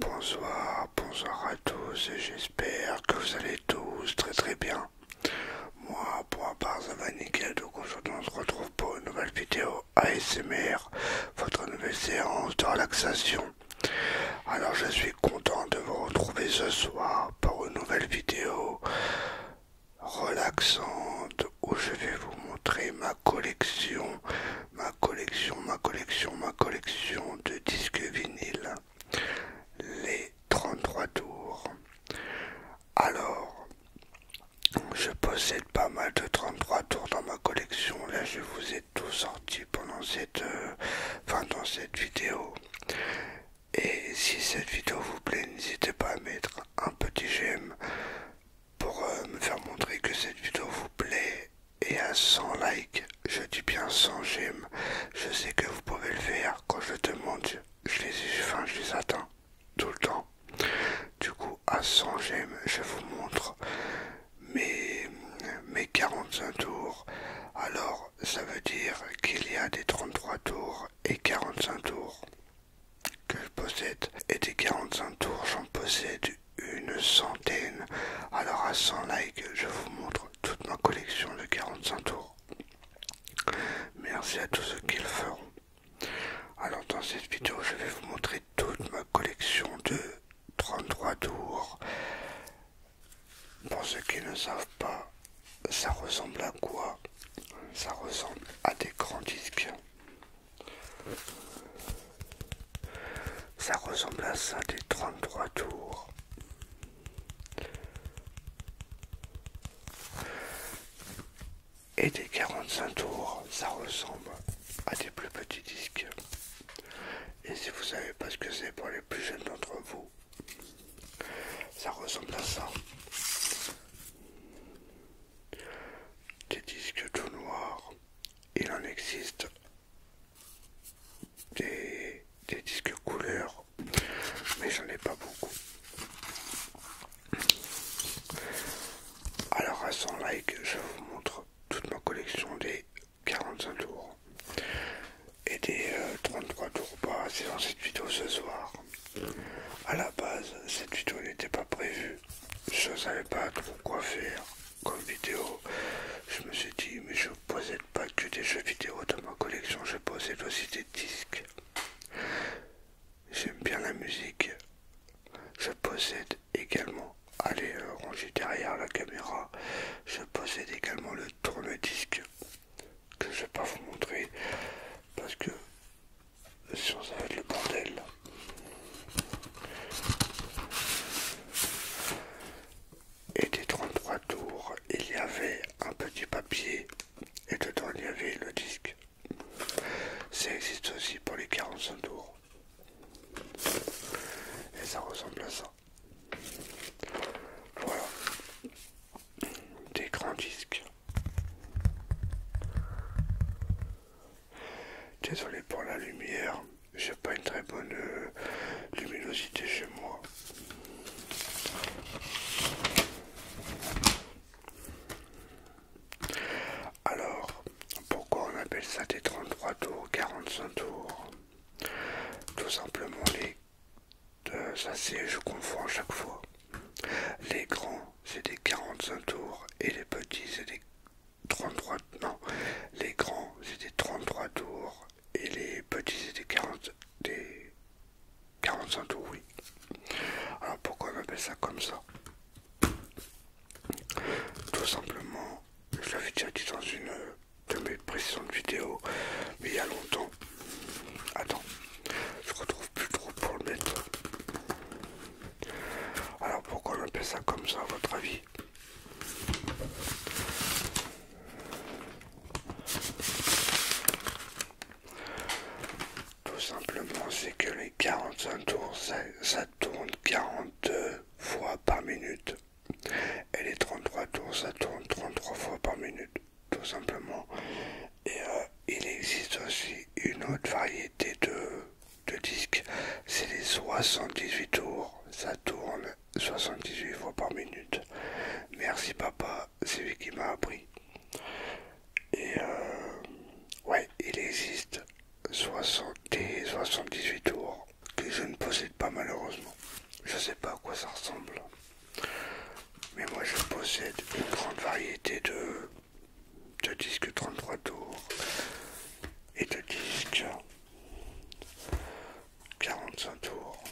Bonsoir, bonsoir à tous et j'espère que vous allez tous très très bien. Moi, pour ma part, ça va nickel, donc aujourd'hui on se retrouve pour une nouvelle vidéo ASMR, votre nouvelle séance de relaxation. Alors je suis content de vous retrouver ce soir pour une nouvelle vidéo relaxante où je vais vous montrer ma collection, ma collection, ma collection, ma collection de disques vinyles, les 33 tours. Alors, je possède pas mal de 33 tours dans ma collection. Là, je vous ai tout sorti pendant cette, euh, fin dans cette vidéo. Et si cette vidéo vous plaît, n'hésitez pas à mettre un petit j'aime pour euh, me faire montrer que cette vidéo vous plaît. Et à 100 likes, je dis bien 100 j'aime. Je sais que vous pouvez le faire quand je demande, je les, enfin, je les atteins tout le temps. Du coup, à 100 j'aime, je vous montre mes, 45 tours. Alors ça veut dire qu'il y a des 33 tours et 45 tours que je possède. Et des 45 tours, j'en possède une centaine. Alors à 100 likes, je vous montre toute ma collection de 45 tours. Merci à tous ceux qui le feront. Alors dans cette vidéo, je vais vous montrer toute ma collection de 33 tours. Pour ceux qui ne savent pas, ça ressemble à quoi Ça ressemble à des grands disques. Ça ressemble à ça des 33 tours. Et des 45 tours, ça ressemble à des plus petits disques. Et si vous savez pas ce que c'est pour les plus jeunes d'entre vous. Ça ressemble à ça. Des disques tout noirs. Il en existe des, des disques couleurs, mais j'en ai pas beaucoup. Alors à 100 likes, je vous montre toute ma collection des 45 tours et des 33 euh, tours bas. C'est dans cette vidéo ce soir. À la base, cette vidéo n'était pas prévue. Je ne savais pas trop quoi faire comme vidéo. Je me suis dit, mais je possède pas que des jeux vidéo dans ma collection, je possède aussi des disques. J'aime bien la musique. Je possède également Allez euh, ranger derrière la caméra. Je possède également le tourne-disque que je vais pas vous montrer parce que sinon ça va le bordel. Et des 33 tours, il y avait un petit papier et dedans il y avait le disque. Ça existe aussi pour les 45 tours. Et ça ressemble à ça. Voilà. Des grands disques. Désolé pour la lumière, j'ai pas une très bonne euh, luminosité chez moi. Alors, pourquoi on appelle ça des 33 tours, 45 tours tout simplement les... Euh, ça c'est, je confonds à chaque fois. Les grands c'est des 45 tours et les petits c'est des 33... Non, les grands c'est des 33 tours et les petits c'est des 40... Des 45 tours, oui. Alors pourquoi on appelle ça comme ça Tout simplement, je l'avais déjà dit dans une de mes précédentes vidéos, mais il y a longtemps. Attends, je retrouve plus trop pour le mettre. Alors pourquoi on appelle ça comme ça à votre avis Tout simplement c'est que les 45 tours ça, ça tourne 42 fois par minute. Et les 33 tours, ça tourne 33 fois par minute, tout simplement. Et euh, il existe aussi une autre variété de, de disques, c'est les 78 tours, ça tourne 78 fois par minute. Merci papa, c'est lui qui m'a appris. Et euh, ouais, il existe 60 et 78 tours que je ne possède pas malheureusement. Je sais pas à quoi ça ressemble. Mais moi je possède une grande variété de, de disques 33 tours et de disques 45 tours.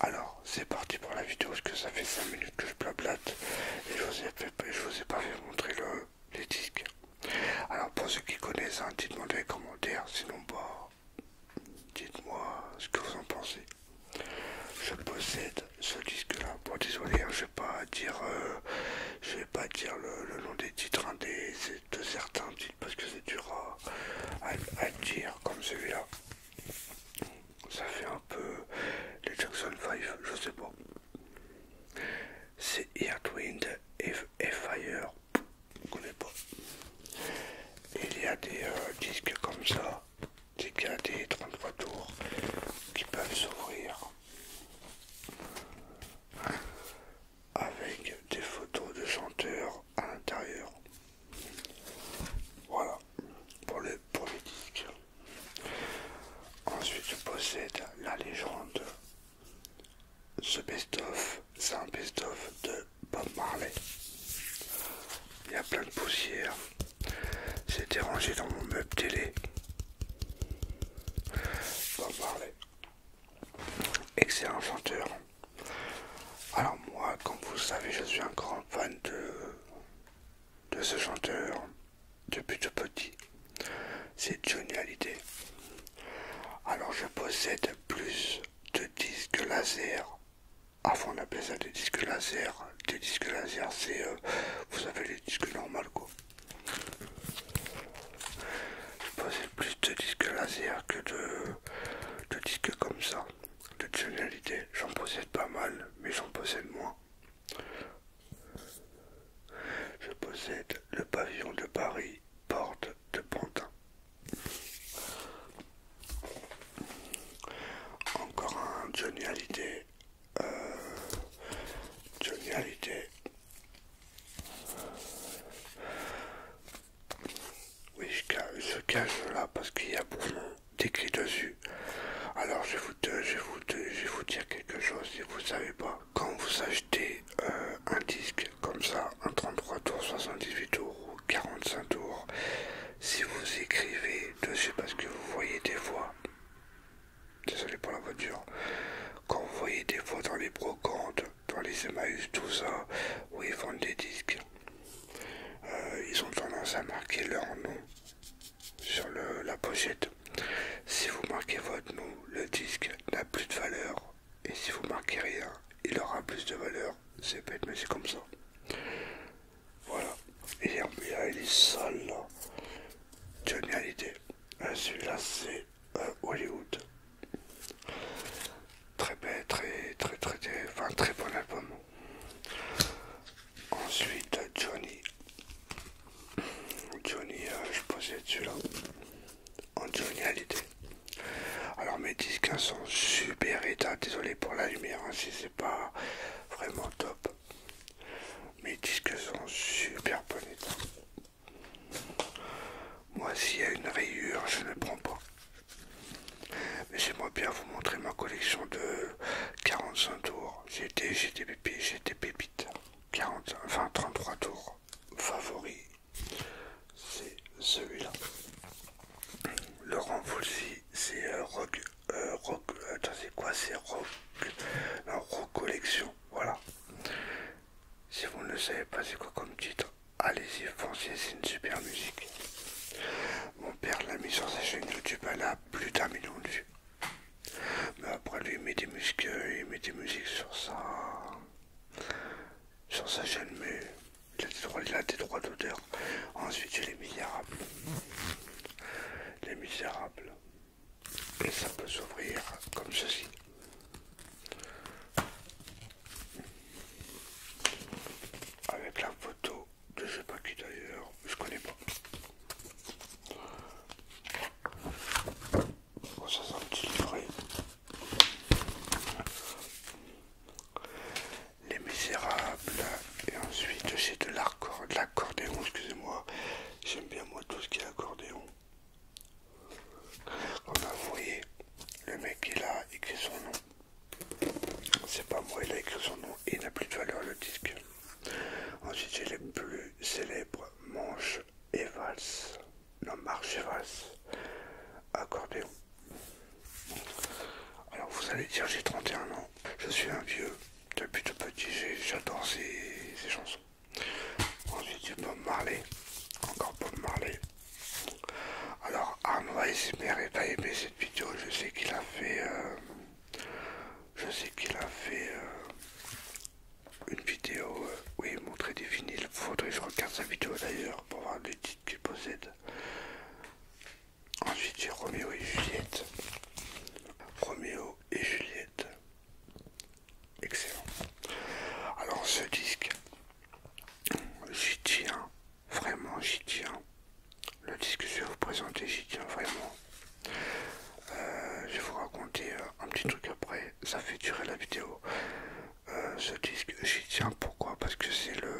Alors c'est parti pour la vidéo parce que ça fait 5 minutes que je blablate et je vous ai, je vous ai pas vu montrer le, les disques. Alors pour ceux qui connaissent, un hein, dites-moi dans les commentaires, sinon pas. Bah, dites-moi ce que vous en pensez. Je possède ce disque-là. pour désolé, hein, je vais pas dire, euh, je vais pas dire le, nom des titres un hein, de certains titres parce que c'est dur à, à dire comme celui-là. Ça fait un peu les Jackson 5, je sais pas. C'est Earthwind et Fire, ne connais pas. Il y a des euh, disques comme ça, des des 33 tours qui peuvent s'ouvrir avec des photos de chanteurs à l'intérieur. Voilà pour pour les disques. Ensuite, je possède la légende. Ce best-of, c'est un best-of de Bob Marley. Il y a plein de poussière. c'est rangé dans mon meuble télé. Bob Marley. Excellent chanteur. Alors moi, comme vous le savez, je suis un grand fan de, de ce chanteur depuis de petit. C'est Johnny Alors je possède plus de disques laser. Avant ah, on appelle ça des disques laser. Des disques laser c'est, euh, vous savez, les disques normaux. quoi. Je possède plus de disques laser que de, disques comme ça. De Johnny j'en possède pas mal, mais j'en possède moins. Je possède le pavillon de Paris, porte de Pantin. Encore un Johnny Hallyday. Euh, Johnny Oui, je, cache là parce qu'il y a de décrit dessus. Alors je vais, vous, je dire quelque chose si vous ne savez pas. Quand vous achetez euh, un disque comme ça, un 33 tours, 78 tours ou 45 tours, si vous écrivez dessus parce que vous voyez des fois, désolé pour la voiture, quand vous voyez des fois dans les brocantes, dans les Emmaüs, tout ça, où ils vendent des disques, euh, ils ont tendance à marquer leur nom sur la pochette. Si vous marquez votre nom, le disque n'a plus de valeur. Et si vous marquez rien, il aura plus de valeur. C'est bête, mais c'est comme ça. Voilà. Et il est sale Génialité. Celui-là, c'est euh, Hollywood. Très bête, très, très, très, très, enfin, très bon album. Ensuite, Johnny Johnny, euh, je possède celui là. En Johnny l'idée. Alors mes disques hein, sont super état. Désolé pour la lumière hein, si c'est pas vraiment top. Mes disques sont super bon état. Moi, s'il y a une rayure, je ne prends pas. Mais j'aimerais bien vous montrer ma collection de 45 tours. J'ai J'étais, j'étais j'ai 40, enfin 33 tours. Favori, c'est celui-là. Laurent Voulzy, c'est euh, Rock. Euh, attends, c'est quoi C'est Rock. La rock Collection. Voilà. Si vous ne savez pas, c'est quoi comme titre Allez-y, foncez, c'est une super musique. Mon père l'a mis sur sa chaîne YouTube, elle a plus d'un million de vues. Mais après lui il met des muscles, il met des musiques sur sa, sur sa chaîne, mais il a des droits, d'odeur. Ensuite j'ai les misérables. Les misérables. Et ça peut s'ouvrir comme ceci. Avec la photo je sais pas qui d'ailleurs, je connais pas. ça c'est un livret. Les Misérables. Et ensuite j'ai de l'accordéon, excusez-moi. J'aime bien moi tout ce qui est accordéon. On a vous voyez, le mec il a écrit son nom. C'est pas moi, il a écrit son nom et il n'a plus de valeur le disque. Ensuite, j'ai les plus célèbres manches et valse, non, marche et valses, accordéon. Alors, vous allez dire, j'ai 31 ans, je suis un vieux, depuis tout petit, j'adore ces, chansons. Ensuite, j'ai Bob Marley, encore Bob Marley. Alors, Arnois Aïsimer est à aimé cette vidéo, je sais qu'il a fait. Euh, je sais qu'il a fait euh, une vidéo euh, où il montrait des vinyles. Faudrait que je regarde sa vidéo d'ailleurs pour voir les titres qu'il possède. Ensuite j'ai Roméo et Juliette. Roméo et Juliette. Excellent. Alors ce disque, j'y tiens. Vraiment j'y tiens le disque que je vais vous présenter, j'y tiens vraiment. Euh, je vais vous raconter euh, un petit truc après, ça fait durer la vidéo. Euh, ce disque, j'y tiens pourquoi Parce que c'est le,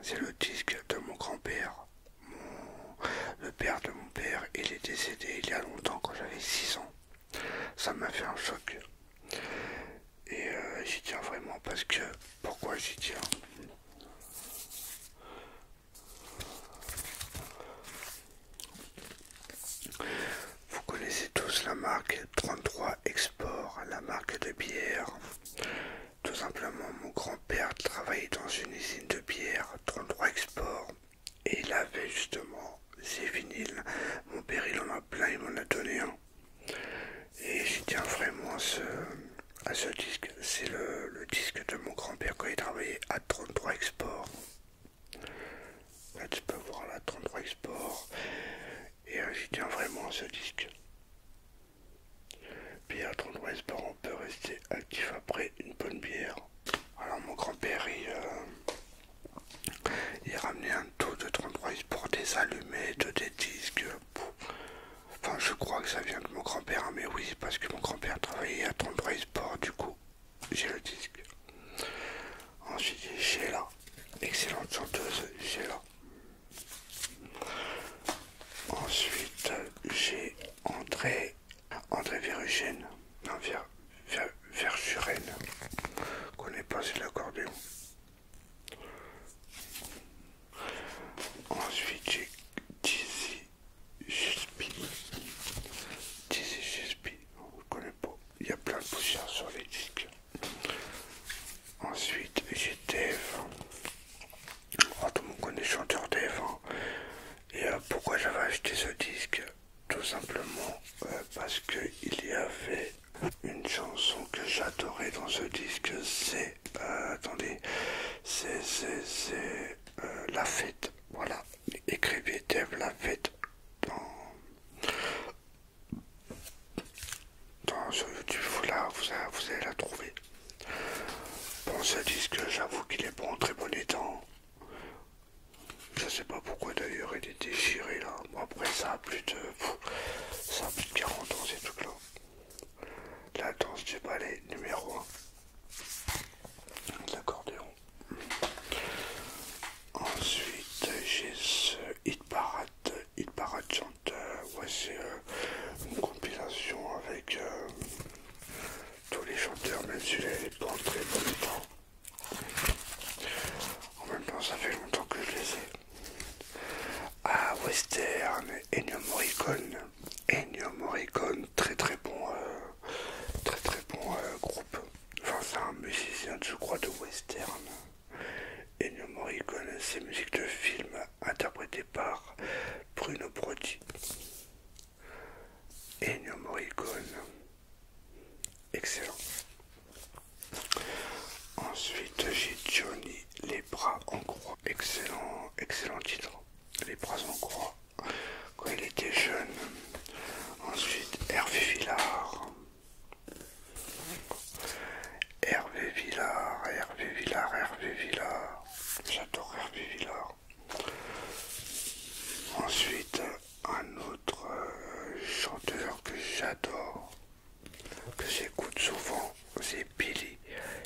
c'est le disque de mon grand-père. Le père de mon père, il est décédé il y a longtemps quand j'avais 6 ans. Ça m'a fait un choc. Et j'y tiens vraiment parce que... Pourquoi j'y tiens vous connaissez tous la marque 33 Export, la marque de bière. Tout simplement, mon grand-père travaillait dans une usine de bière 33 Export et il avait justement ces vinyles. Mon père, il en a plein, il m'en a donné un. Et j'y tiens vraiment ce, à ce disque. C'est le, disque de mon grand-père quand il travaillait à 33 Export. Là, tu peux voir la 33 Export. Et j'y tiens vraiment à ce disque. Puis à 33 Export, on peut rester actif après une bonne bière. Alors, mon grand-père, il, euh, ramenait un tout de 33 Export, des allumettes, des disques. Enfin, je crois que ça vient de mon grand-père, hein, mais oui, parce que mon grand-père travaillait à Tremblay Sport, du coup, j'ai le disque. Ensuite, j'ai là. excellente chanteuse, là. Ensuite, j'ai André, André Verugène, non, vers connais pas, c'est l'accordéon. Ensuite, j'ai Dizzy Juspi, Dizzy Juspi on ne pas. Il y a plein de poussière sur les disques. Ensuite, j'ai Dave. Oh, tout le monde connaît chanteur Dave. Hein. Et euh, pourquoi j'avais acheté ce disque Tout simplement euh, parce qu'il y avait une chanson que j'adorais dans ce disque, c'est euh, attendez. C'est. C'est. Euh, la fête. Voilà. Écrivez Dev la fête dans. ce sur YouTube. Vous, là, vous, allez la trouver. Bon, ce que j'avoue qu'il est bon très bon état. Je sais pas pourquoi d'ailleurs il est déchiré là. Bon, après, ça plus de. Ça a plus de 40 ans ces trucs là. La danse du palais, numéro 1. L'accordéon. Ensuite, j'ai ce Hit Parade. Hit Parade chanteur. Voici c'est euh, une compilation avec euh, tous les chanteurs, même si j'avais pas en très temps. En même temps, ça fait longtemps que je les ai. Ah, Western, Ennio Morricone, Ennio Morricone, très très bon, euh, très très bon euh, groupe. Enfin, c'est un musicien, je crois, de western. Ennio Morricone, c'est musique de film interprétée par Bruno Brody. Ennio Morricone, excellent. Ensuite, j'ai Johnny les bras en croix. Excellent, excellent titre. Les bras en croix. Quand il était jeune. Ensuite, Hervé Villard. Hervé Villard, Hervé Villard, Hervé Villard. J'adore Hervé Villard. Ensuite, un autre euh, chanteur que j'adore, que j'écoute souvent, c'est Billy.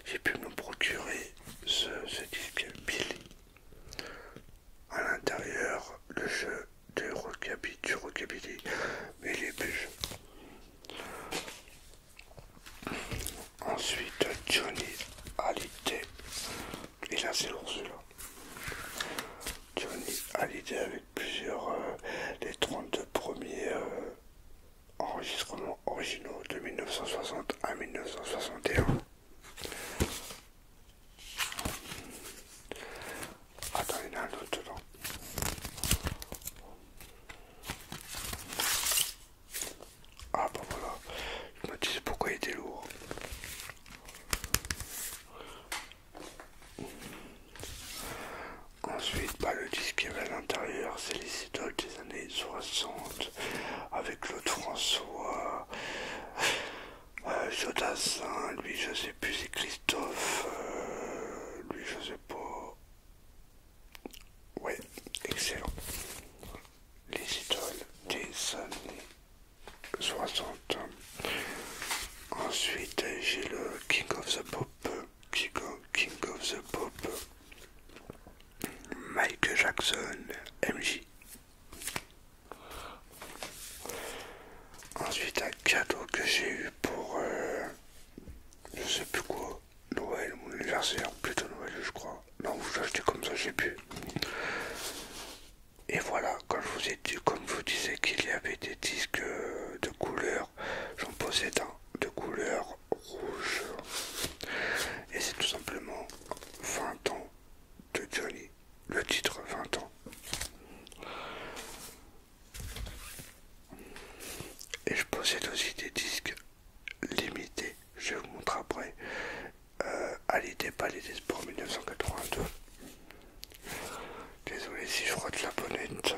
J'ai pu me procurer ce, disque Billy. À l'intérieur, le jeu de rockabilly, du rockabilly, mais les bûches. Ensuite, Johnny Hallyday. Et là, c'est celui-là. Johnny Hallyday avec plusieurs, euh, les 32 premiers euh, enregistrements originaux de 1960 à 1961. Attends, il y en a un autre dedans. Ah bah voilà, je me disais pourquoi il était lourd. Ensuite, bah, le disque qu'il y avait à l'intérieur, c'est les idoles des années 60 avec Claude François, euh, Jodassin, lui je sais plus, c'est Christophe, lui je sais pas. Ouais, excellent. Les idoles des années 60. Ensuite, j'ai le King of the Pop. King of, King of the Pop, mike Jackson, MJ. Ensuite, un cadeau que j'ai eu pour euh, je sais plus quoi, Noël, ou anniversaire, plutôt Noël, je crois. Non, vous l'achetez comme ça, j'ai pu. Et voilà, quand je vous ai dit, comme je vous disais qu'il y avait des disques euh, de couleur, j'en possède un de couleur rouge. Et c'est tout simplement 20 ans de Johnny. Le titre 20 ans. Et je possède aussi des disques limités. Je vous montre après. Euh, à l'idée des Sports 1982. Désolé si je frotte la bonnette.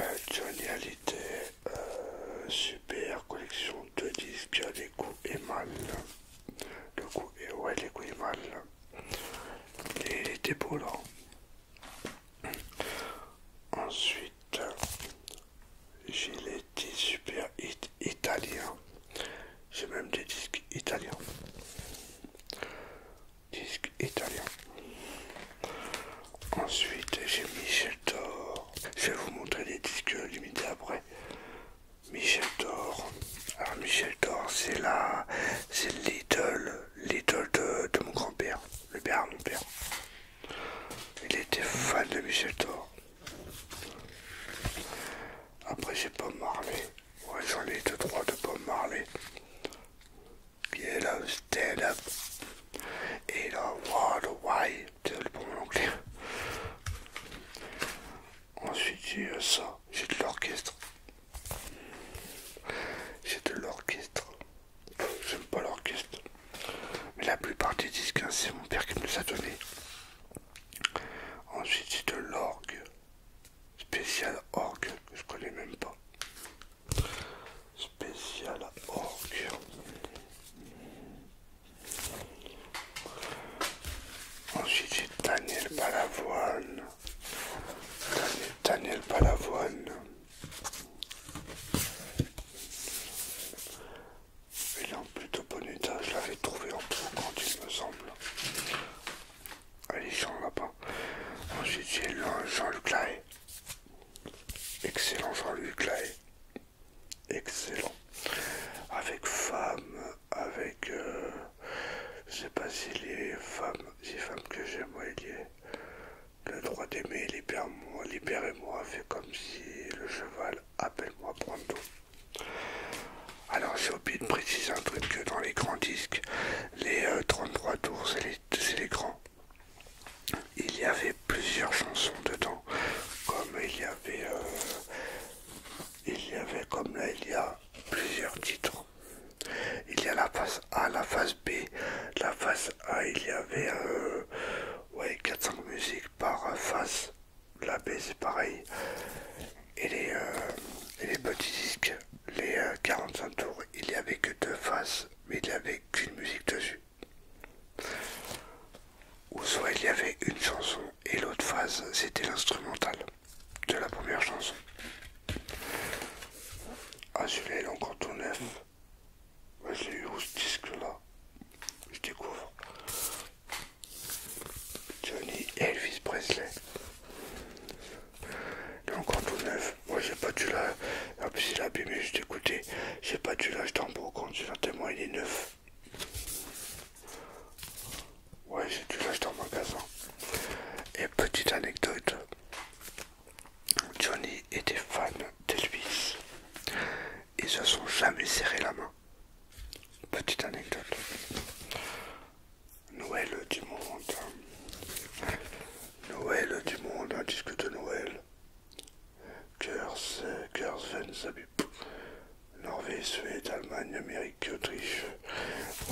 Euh, Johnny Ali des euh, super collection de disques les coups et mal. Le coup et ouais les coups et mal. Et Ensuite j'ai les disques super italiens. J'ai même des disques italiens disque italien. Ensuite, j'ai Michel Thor. Je vais vous montrer des disques limités après. Michel Thor. Alors, Michel Thor, c'est la. C'est l'idole. Little de, mon grand-père. Le père de mon père. Il était fan de Michel Thor. Après, j'ai Bob Marley. Ouais, j'en ai deux, trois de Bob Marley qui le stand up. Et là, water, Y, C'est le anglais. Ensuite, j'ai ça. J'ai de l'orchestre. J'ai de l'orchestre. J'aime pas l'orchestre. Mais la plupart des disques, hein, c'est mon père qui me les a donnés. Ensuite, j'ai de l'orgue. Spécial orgue que je connais même pas spécial orc. Ensuite j'ai Daniel Balavoine. Daniel, Balavoine. Il est en plutôt bon état, je l'avais trouvé en quand il me semble. Allez, Jean bas Ensuite j'ai Jean-Luc Excellent Jean-Luc Lai. Excellent. Avec femme, avec... Euh, je sais pas si les femmes si femmes que j'aime, ouais, il Le droit d'aimer, libérez-moi, fait comme si le cheval appelle-moi pronto. Alors j'ai oublié de préciser un truc que dans les grands disques, les 33 euh, tours, c'est les grands il y avait plusieurs chansons dedans, comme il y avait, euh, il y avait comme là il y a plusieurs titres. Il y a la face A, la face B, la face A il y avait 400 euh, musiques par face. la B c'est pareil, et les, euh, petits disques, les 45 tours, il n'y avait que deux faces mais il n'y avait qu'une musique dessus. Ou soit il y avait une chanson et l'autre phase c'était l'instrumental de la première chanson. Ah celui-là est encore tout neuf. J'ai eu ce disque là. Je découvre. Johnny Elvis Presley. Il est encore tout neuf. Moi j'ai pas dû la. En plus il J'ai pas dû l'acheter en beau compte, témoin, il est neuf. Ouais, j'ai dû l'acheter en magasin. Et petite anecdote. Johnny était fan de d'Elvis. Ils se sont jamais serré la main. Petite anecdote. Noël du monde. Noël du monde, un disque de Noël. Norvège, Suède, Allemagne, Amérique, Autriche.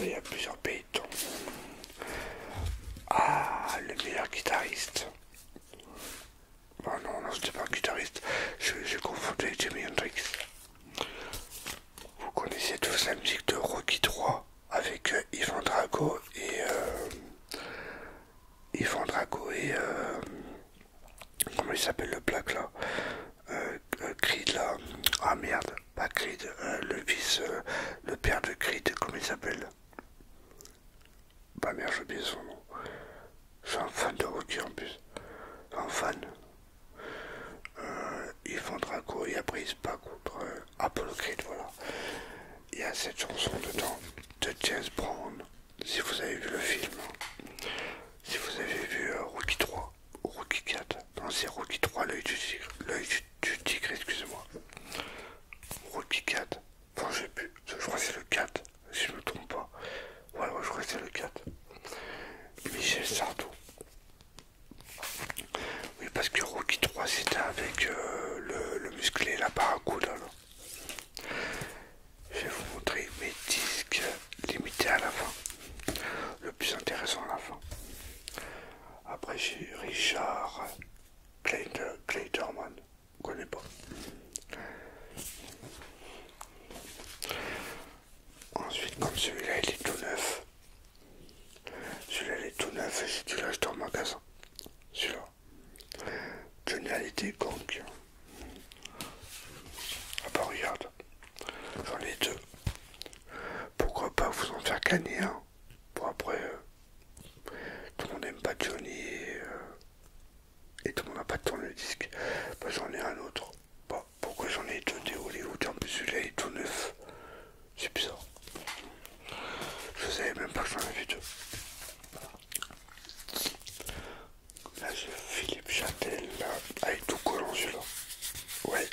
il y a plusieurs pays Ah, le meilleur guitariste. oh non, non, c'était pas un guitariste. J'ai confondu avec Jimmy Hendrix. Vous connaissez tous la musique de Rocky 3 avec euh, Yvan Drago et euh, Yvan Drago et euh, comment il s'appelle le black là Creed là ah merde pas Creed le fils le père de Creed comment il s'appelle bah merde j'oublie son nom je un fan de hockey en plus un fan euh, Yvan Drago et après pas contre euh, Apollo voilà. Il y a cette chanson dedans de James Brown, si vous avez vu le film, si vous avez vu euh, Rookie 3 Rookie 4, non c'est Rookie 3, l'œil du tigre, l'œil du, excusez-moi, Rookie 4, bon j'ai pu, je crois c'est le 4, si je me trompe pas, voilà, je crois c'est le 4, Michel Sardou, oui, parce que Rocky 3 c'était avec euh, le, musclé, la à hein. Je vais vous montrer mes disques limités à la fin. Le plus intéressant à la fin. Après, j'ai Richard Clayderman. connais pas. Ensuite, comme celui-là, il est tout neuf. Celui-là, est tout neuf et j'ai dû l'acheter en magasin. Celui-là. Johnny a été gang. Ah bah regarde, j'en ai deux. Pourquoi pas vous en faire gagner un Pour après, euh, tout le monde n'aime pas Johnny euh, et, tout le monde n'a pas de tourne le disque. Bah j'en ai un autre. Bah, pourquoi j'en ai deux des Hollywood En plus celui-là est tout neuf. C'est bizarre. Je savais même pas que j'en avais deux. Là Philippe Châtel, ah, il avec tout collant celui-là. Ouais.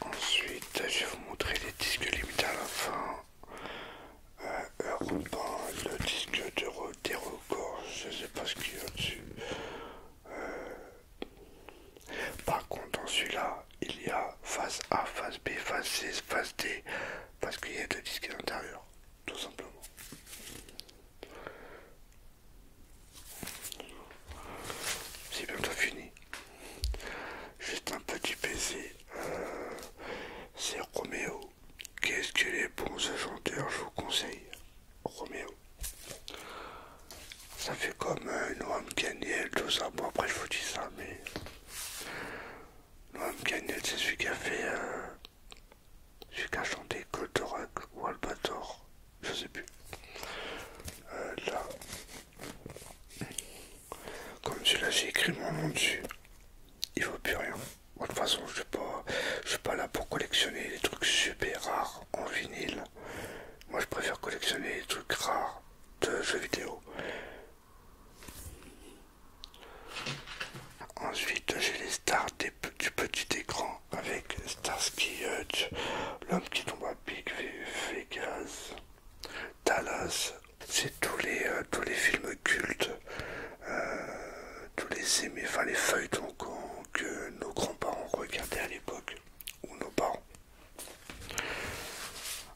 Ensuite, je vais vous montrer les disques limités à la fin. Euh, le disque de des records, je sais pas ce qu'il y a dessus. Par contre, dans celui-là, il y a face A, face B, face C, face D, parce qu'il y a deux disques à l'intérieur, tout simplement. C'est bientôt fini. Juste un petit PC. Euh, c'est Romeo. Qu'est-ce qu'il est bon ce chanteur, je vous conseille. Romeo, Ça fait comme euh, Noam Ganiel tout ça. Bon, après, je vous dis ça, mais. Noam Ganiel c'est celui qui a fait. Euh, celui qui a chanté Goldorak ou Albator. Je sais plus. Euh, là. Comme celui-là, j'ai écrit mon nom dessus. Il vaut plus rien. de toute façon, je ne suis pas là pour collectionner des trucs super rares en vinyle. Moi, je préfère collectionner les trucs rares de jeux vidéo. Ensuite, j'ai les stars du petit écran avec Starsky Hutch, L'homme qui tombe à pic, Vegas, Dallas. C'est tous les euh, tous les films cultes, euh, tous les aimés, enfin les feuilletons que nos grands-parents regardaient à époque ou nos parents.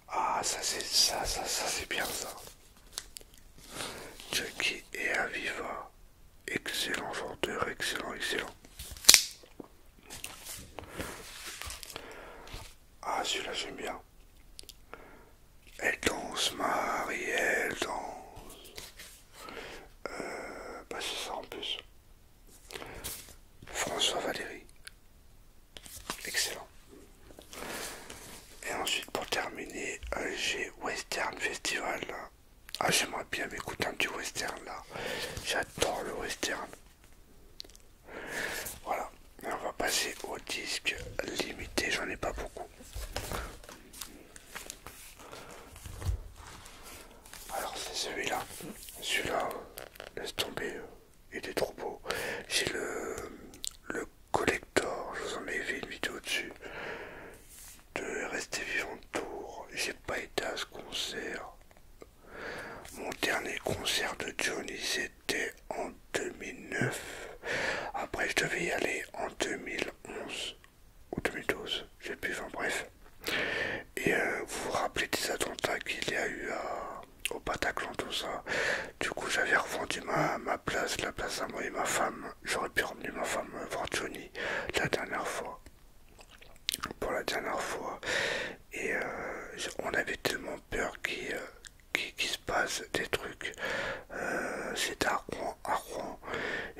Ah, ça c'est ça, ça, c'est bien ça. Jackie et Aviva, excellent chanteur, excellent, excellent. Ah, celui-là j'aime bien. Elle danse, Marie, elle danse. Euh, bah c'est ça en plus. François Valérie. Excellent. Et ensuite pour terminer, G Western Festival. Ah j'aimerais bien m'écouter un western là. J'adore le western. Voilà. on va passer au disque limité, j'en ai pas beaucoup. Alors c'est celui-là. Celui-là, laisse tomber, euh, il est trop beau. J'ai le, collector, je vous en ai fait une vidéo dessus. De rester vivant tour. J'ai pas été à ce concert. Mon dernier concert de Johnny c'était en 2009. Après je devais y aller en 2011 ou 2012, j'ai pu bref. Et euh, vous vous rappelez des attentats qu'il y a eu au Bataclan, tout ça. Du coup, j'avais revendu ma, ma place, la place à moi et ma femme. J'aurais pu ramener ma femme voir Johnny la dernière fois. Pour la dernière fois. Et euh, on avait tellement peur qu'il euh, se passe des trucs. C'est C'était à Rouen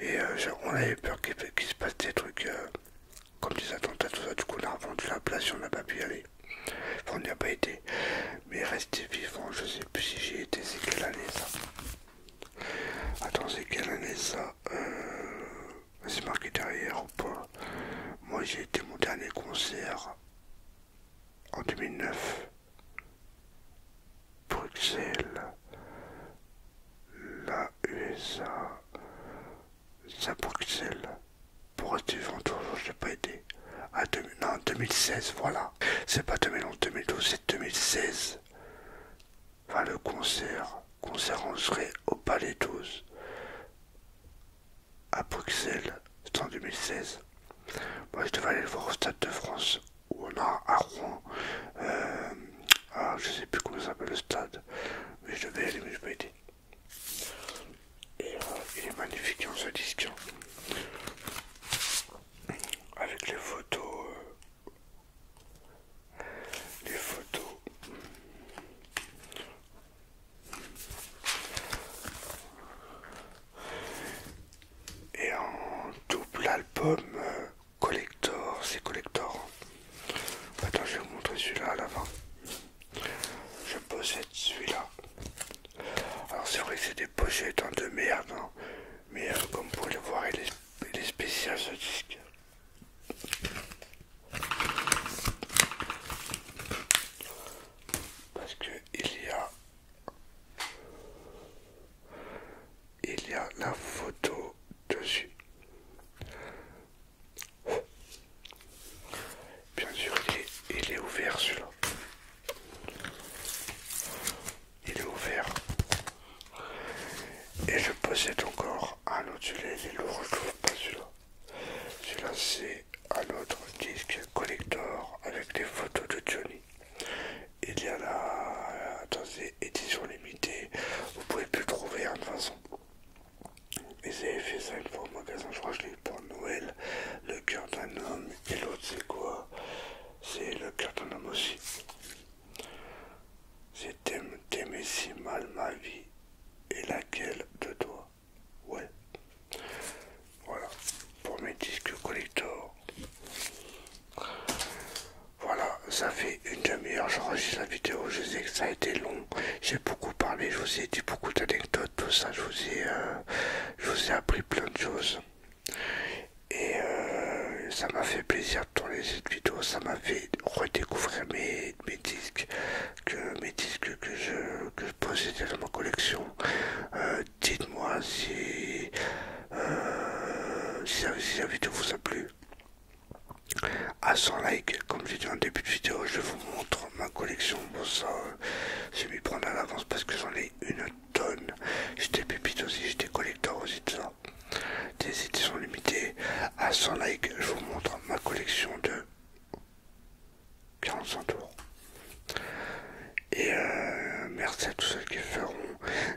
et euh, on avait peur qu'il se passe des trucs euh, comme des attentats, tout ça. Du coup, on a revendu la place et on n'a pas pu y aller. Enfin, on n'y a pas été. Mais rester vivant, je sais plus si j'y été, c'est quelle année ça Attends, c'est quelle année ça euh, C'est marqué derrière ou pas Moi, j'ai été mon dernier concert en 2009. Bruxelles, la USA, à Bruxelles, pour être toujours, je n'ai pas été non, 2016, voilà. C'est pas 2012, c'est 2016. Enfin, le concert, concert en serait au Palais 12, à Bruxelles, c'est en 2016. Moi, je devais aller le voir au Stade de France où on a à Rouen, euh, ah, je sais plus comment s'appelle le stade, mais je devais aller, mais je pas été Et euh, il est magnifique en ce disque, avec les photos, euh, les photos. Et en double album, collector, c'est collector. Attends, je vais vous montrer celui-là à l'avant Je possède celui-là. Alors c'est vrai que c'est des pochettes hein, de merde, hein. mais euh, comme vous pouvez le voir, il est, il est spécial ce disque. Parce que il y a il y a la photo dessus. Bien sûr, il est, ouvert celui-là. Il est ouvert. Et je possède encore un autre. celui pas là Celui-là, c'est un autre disque collector avec des photos de Johnny il y a la dans édition éditions limitées vous pouvez plus trouver hein, de façon et j'ai fait ça une fois au magasin je crois que je l'ai eu pour Noël le cœur d'un homme et l'autre c'est quoi c'est le cœur d'un homme aussi c'est mes si mal ma vie et laquelle de toi ouais voilà pour mes disques collector voilà, ça fait une demi-heure, j'enregistre la vidéo, je sais que ça a été long, j'ai beaucoup parlé, je vous ai dit beaucoup d'anecdotes, tout ça, je vous, ai, euh, appris plein de choses. Et euh, ça m'a fait plaisir de tourner cette vidéo, ça m'a fait redécouvrir mes, disques, que, mes disques que je, possédais dans ma collection. Euh, dites-moi si la vidéo vous a plu à 100 likes, comme j'ai dit en début de vidéo, je vous montre ma collection. Bon, ça, je euh, vais m'y prendre à l'avance parce que j'en ai une tonne. J'étais pépites aussi, j'étais collecteurs aussi de ça. Des éditions limitées. À 100 likes, je vous montre ma collection de 45 tours. Et euh, merci à tous ceux qui feront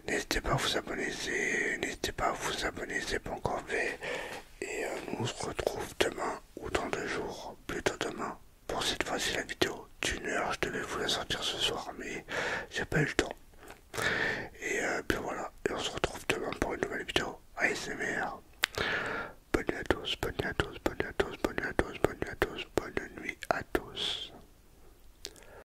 N'hésitez pas à vous abonner, n'hésitez pas à vous abonner, c'est pas encore fait. Et euh, nous on se retrouve demain ou dans deux jours, plutôt demain, pour cette fois-ci la vidéo d'une heure. Je devais vous la sortir ce soir, mais j'ai pas eu le temps. Et euh, puis voilà, et on se retrouve demain pour une nouvelle vidéo ASMR. Bonne à tous, bonne nuit à tous, bonne nuit à tous, bonne nuit à tous, bonne nuit à tous, bonne nuit à tous.